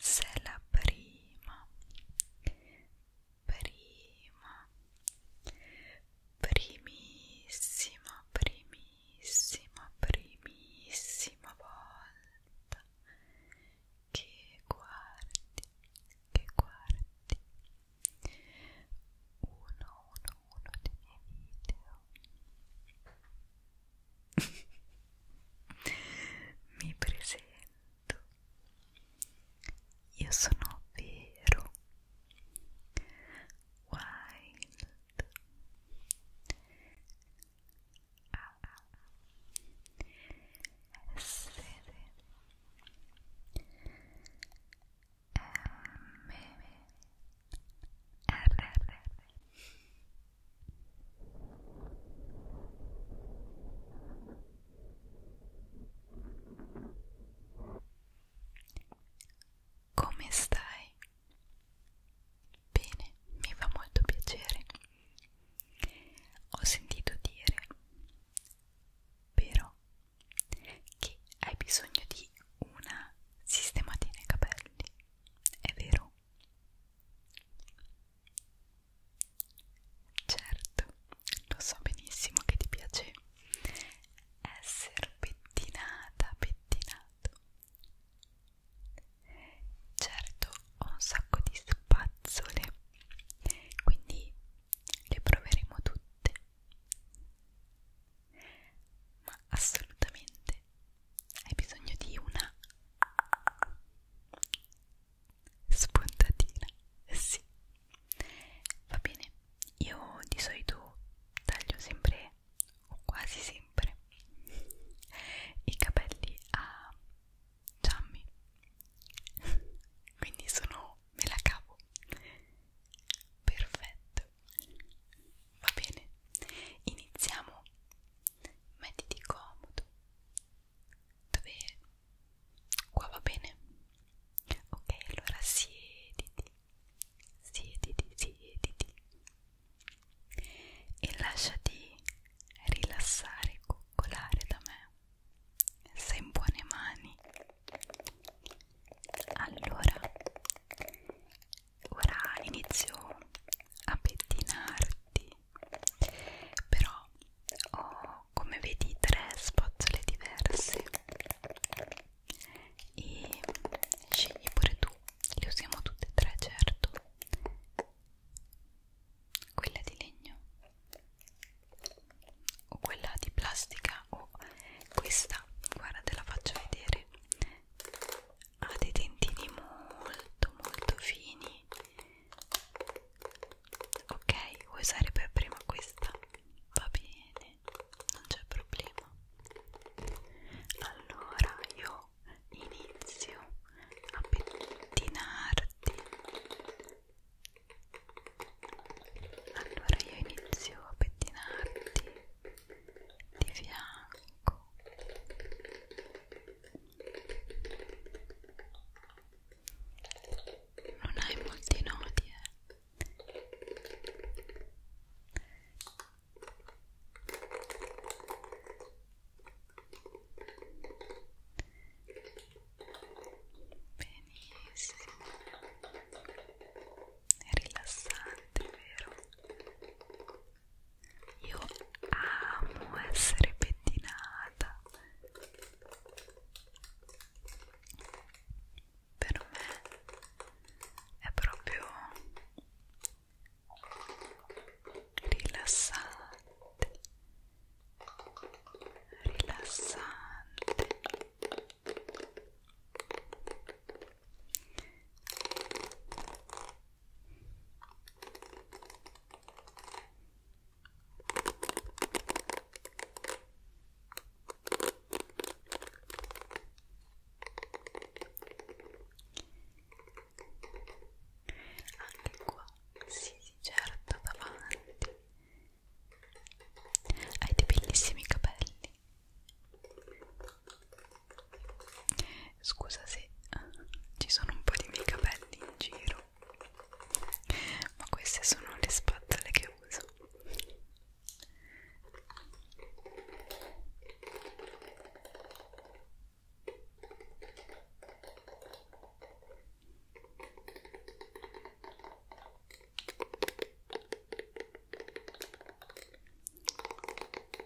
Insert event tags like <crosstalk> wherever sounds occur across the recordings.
se la prima prima primissima primissima primissima volta che guardi che guardi uno uno uno dei miei video mi presento. Io sono vero. Wild. A -A. Essere. M. Come stai? Bene, mi fa molto piacere. Ho sentito dire però che hai bisogno di una sistematina ai capelli, è vero? Certo, lo so benissimo che ti piace essere pettinata, pettinato. Certo, ho un sacco di spazzole, quindi le proveremo tutte. Ma assolutamente niente hai bisogno di una spuntatina sì va bene io di solito taglio sempre o quasi sempre i capelli a Giammi quindi sono me la cavo perfetto Va bene, iniziamo. Mettiti comodo. Dove? Qua va bene. Ok, allora siediti, siediti, siediti e lasciati rilassare e coccolare da me. Sei in buone mani. Allora, ora inizio a pettinarti però ho come vedi tre spazzole diverse e scegli pure tu le usiamo tutte e tre certo quella di legno o quella di plastica o questa guarda te la faccio vedere ha dei dentini molto molto fini ok vuoi usare per prima questa va bene non c'è problema allora io inizio a pettinarti allora io inizio a pettinarti di fianco non hai molti nodi eh. benissimo è rilassante vero io amo essere pettinata. Per me è proprio rilassante, rilassante. Anche qua, sì, sì, certo, davanti. Hai dei bellissimi capelli. Scusa se eh, ci sono un po' di miei capelli in giro, ma queste sono le spazzole che uso li prendo e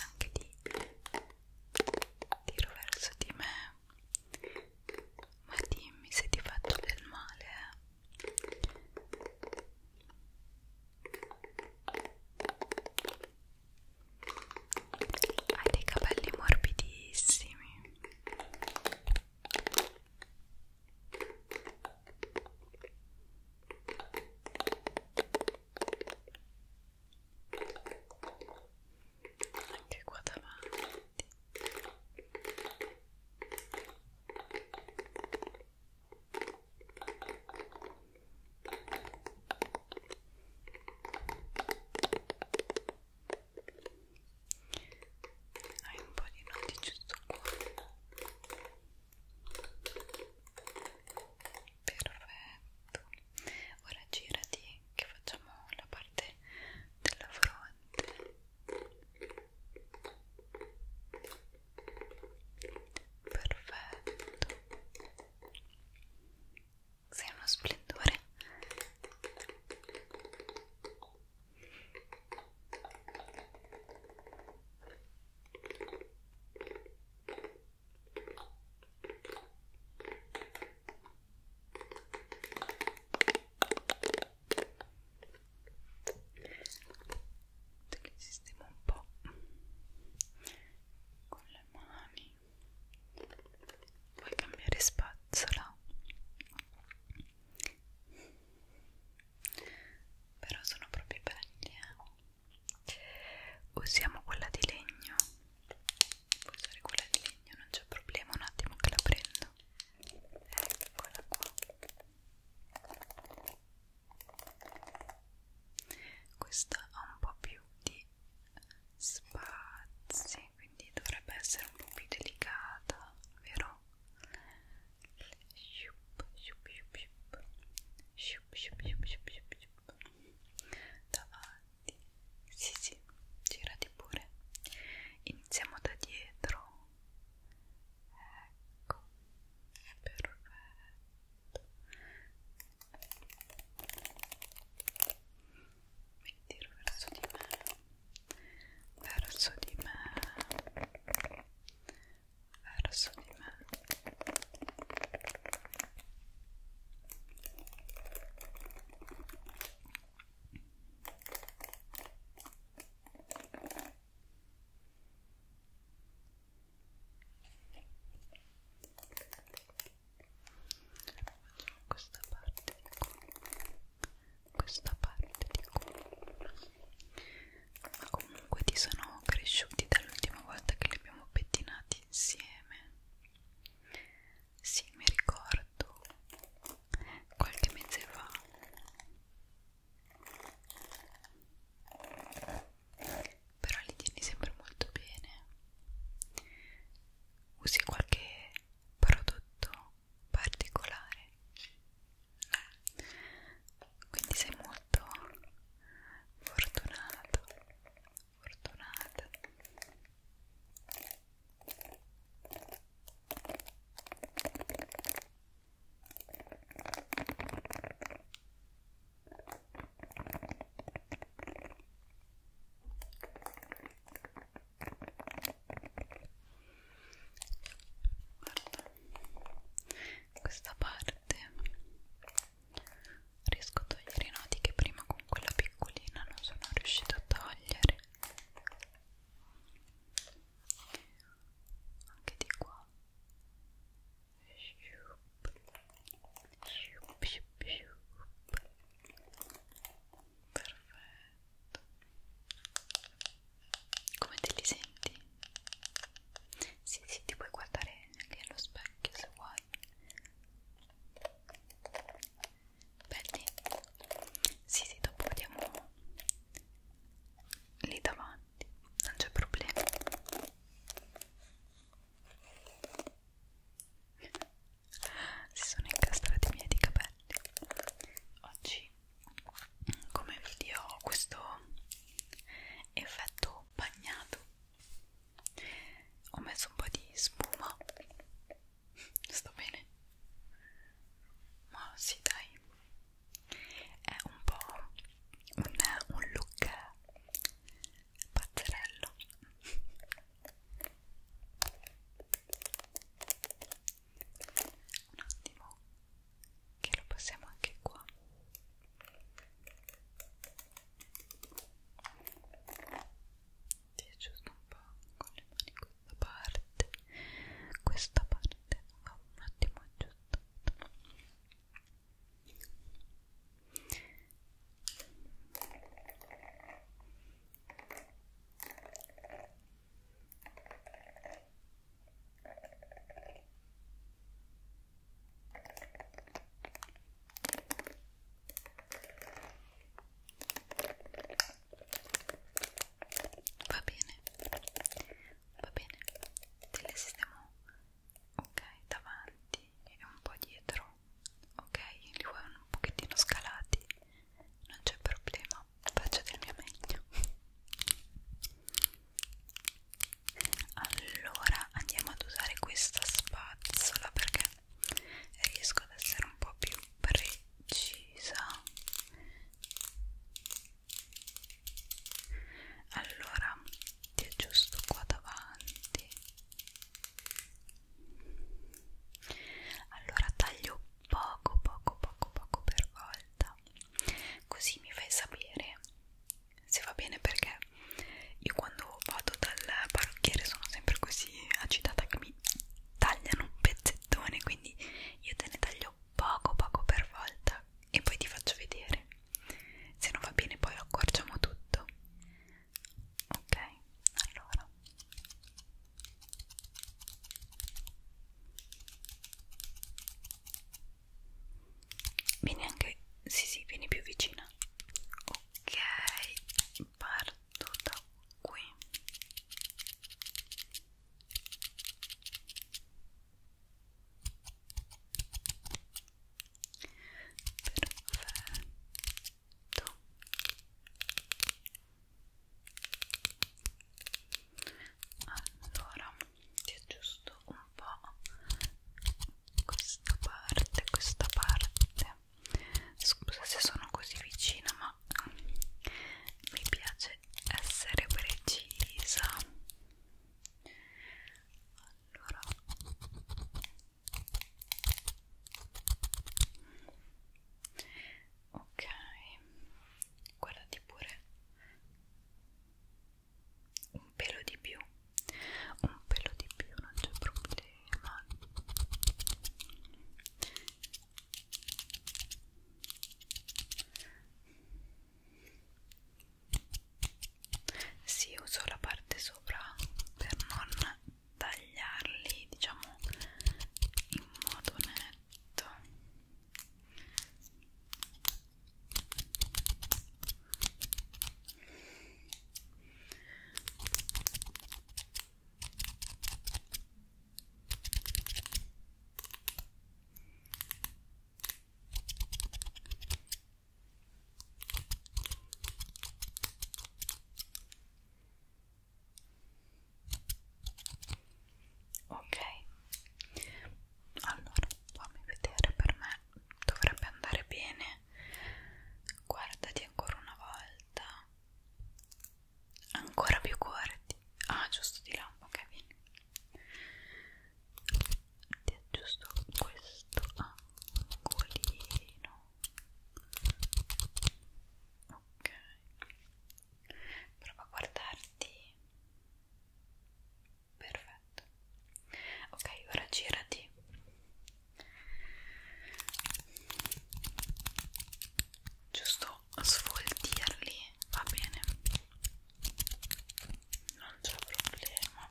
anche li tiro verso di me ma dimmi se ti faccio del male eh. Hai dei capelli morbidissimi. Anche qua davanti hai un po' di nodi giusto qua perfetto ora girati che facciamo la parte della fronte Perfetto. Sei uno splendore che sistemo un po' con le mani puoi cambiare spazzola però sono proprio belli eh. usiamo quella di legno puoi usare quella di legno non c'è problema un attimo che la prendo eccola qua questa ha un po' più di spazi quindi dovrebbe essere un po' più delicata vero? Shup, shup, shup, shup. Shup, shup, shup, shup, shup, shup. davanti sì sì girati pure iniziamo da dietro ecco perfetto mi tiro verso di me verso di me verso di me Facciamo questa parte di qua, questa parte di qua. Ma comunque ti sono cresciuti dall'ultima volta che li abbiamo pettinati insieme. Sì, mi ricordo qualche mese fa però li tieni sempre molto bene usi qualche prodotto particolare quindi sei molto fortunato fortunata Guarda, questa parte riesco a togliere i nodi che prima con quella piccolina non sono riuscita a togliere anche di qua perfetto come te li senti? Sì, sì, ti puoi guardare anche allo specchio se vuoi. Belli? Sì, sì, dopo vediamo lì davanti non c'è problema si sono incastrati i miei di capelli oggi come video ho questo effetto bagnato ho messo un po' di spuma sto bene ma si sì, dai è un po' un, un look pazzerello un attimo che lo passiamo anche qua ti aggiusto un po' con le mani così da parte questa parte va un attimo aggiustata va bene va bene te le sistemo ok davanti e un po' dietro ok li vuoi un pochettino scalati non c'è problema faccio del mio meglio allora andiamo ad usare questa spazzola perché riesco ad essere un po' più presa precisa allora ti aggiusto qua davanti allora taglio poco poco poco poco per volta così mi fai sapere se va bene perché io quando vado dal parrucchiere sono sempre così agitata che mi tagliano un pezzettone quindi io te ne taglio poco poco per volta e poi ti faccio vedere se non va bene poi lo accorciamo tutto ok allora vieni anche sì sì vieni più vicina ok parto da qui Perfetto. Allora ti aggiusto un po' questa parte, questa parte. Scusa se sono così vicina, ma ma mi piace essere precisa allora ok guardati pure un pelo di più un pelo di più non c'è problema sì, uso la parte sopra per non tagliarli, diciamo, in modo netto. Ok, allora fammi vedere per me dovrebbe andare bene. Guardati ancora una volta ancora più corti ah giusto di là ok bene ti aggiusto questo angolino ok prova a guardarti perfetto ok ora girati giusto sfoltirli va bene non c'è problema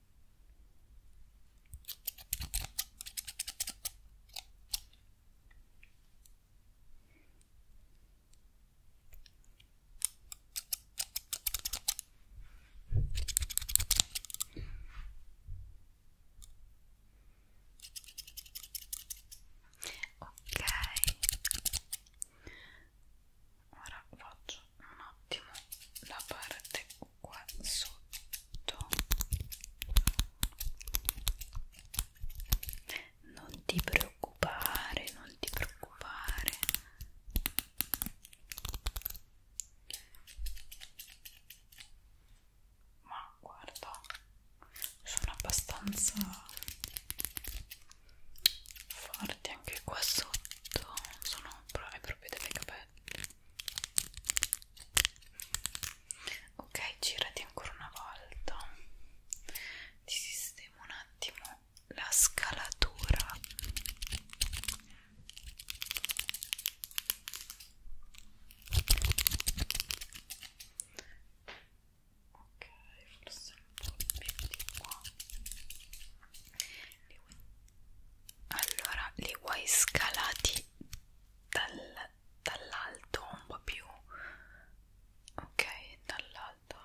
Ok, ora faccio un attimo la parte qua sotto non ti preoccupare non ti preoccupare ma guarda sono abbastanza forti anche qua sotto sono proprio delle capelli ok girati ancora una volta ti sistemo un attimo la scalatura ok forse un po' più di qua allora li vuoi scalati dal, dall'alto un po' più ok dall'alto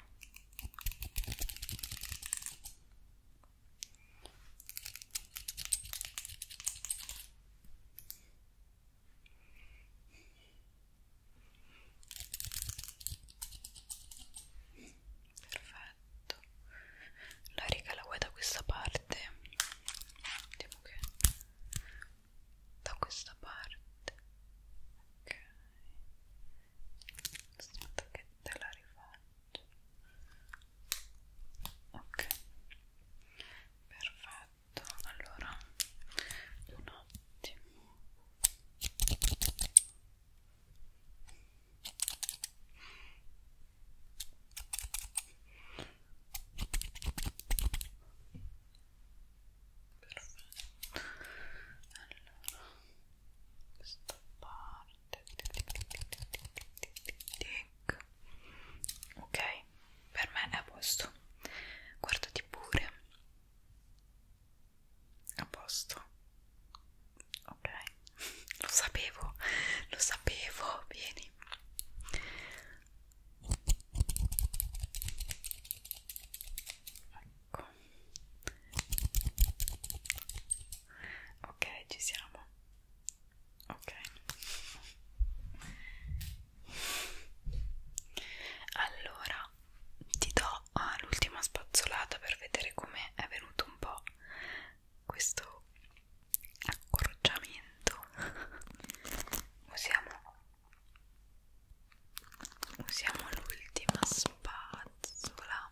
perfetto la riga la vuoi da questa parte vediamo che da questa parte ok aspetta che te la rifaccio ok perfetto allora un attimo Perfetto. Allora, questa parte. Tic. Ok, per me è a posto. Guardati pure. A posto ok lo sapevo lo sapevo vieni ecco ok ci siamo ok allora ti do ah, l'ultima spazzolata per vedere come è venuto un po' questo accorciamento usiamo usiamo l'ultima spazzola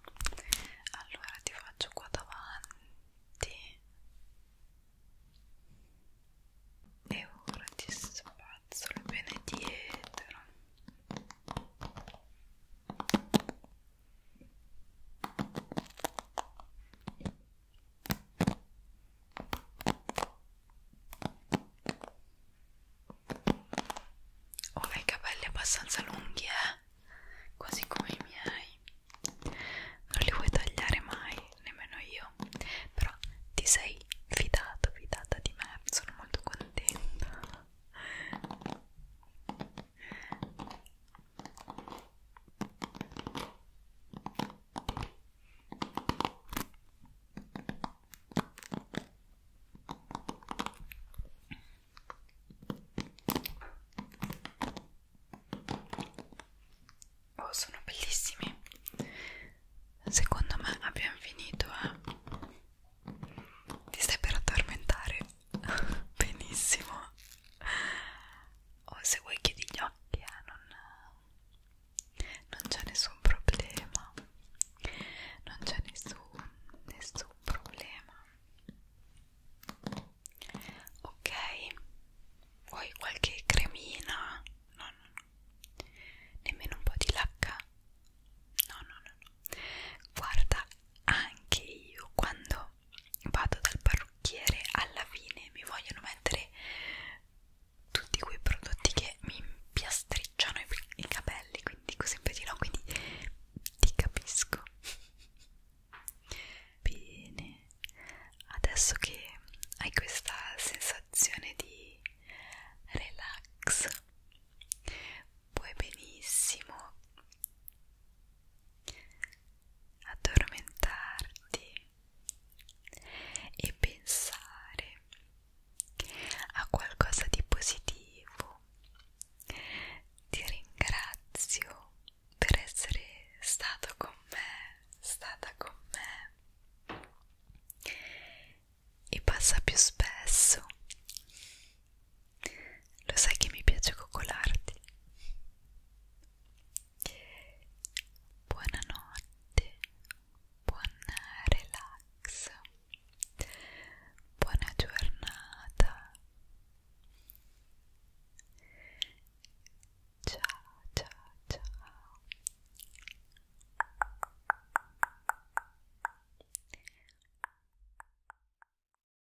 allora ti faccio qua davanti e ora ti spazzolo bene dietro ho dei capelli abbastanza lunghi, eh? Quasi come i miei. Non li vuoi tagliare mai, nemmeno io. Però ti sei fidato, fidata di me. Sono molto contenta. Oh, sono bellissimi. Secondo me abbiamo finito. Eh? Ti stai per addormentare? <laughs> benissimo o oh, se vuoi chiudi gli occhi eh, non, non c'è nessun problema non c'è nessun, nessun problema ok vuoi qualche cremina? no no no nemmeno un po' di lacca? no no no no guarda anche io quando vado dal parrucchiere alla fine mi vogliono mettere tutti quei prodotti che mi impiastricciano i, i capelli quindi così per no quindi ti capisco bene adesso che hai questa sensazione di relax puoi benissimo addormentarti e pensare a qualcosa di positivo. Ti ringrazio per essere stato con me, stata con me e passa più spesso. Lo sai che mi piace coccolarti. Buonanotte, buon relax, buona giornata. Ciao, ciao, ciao.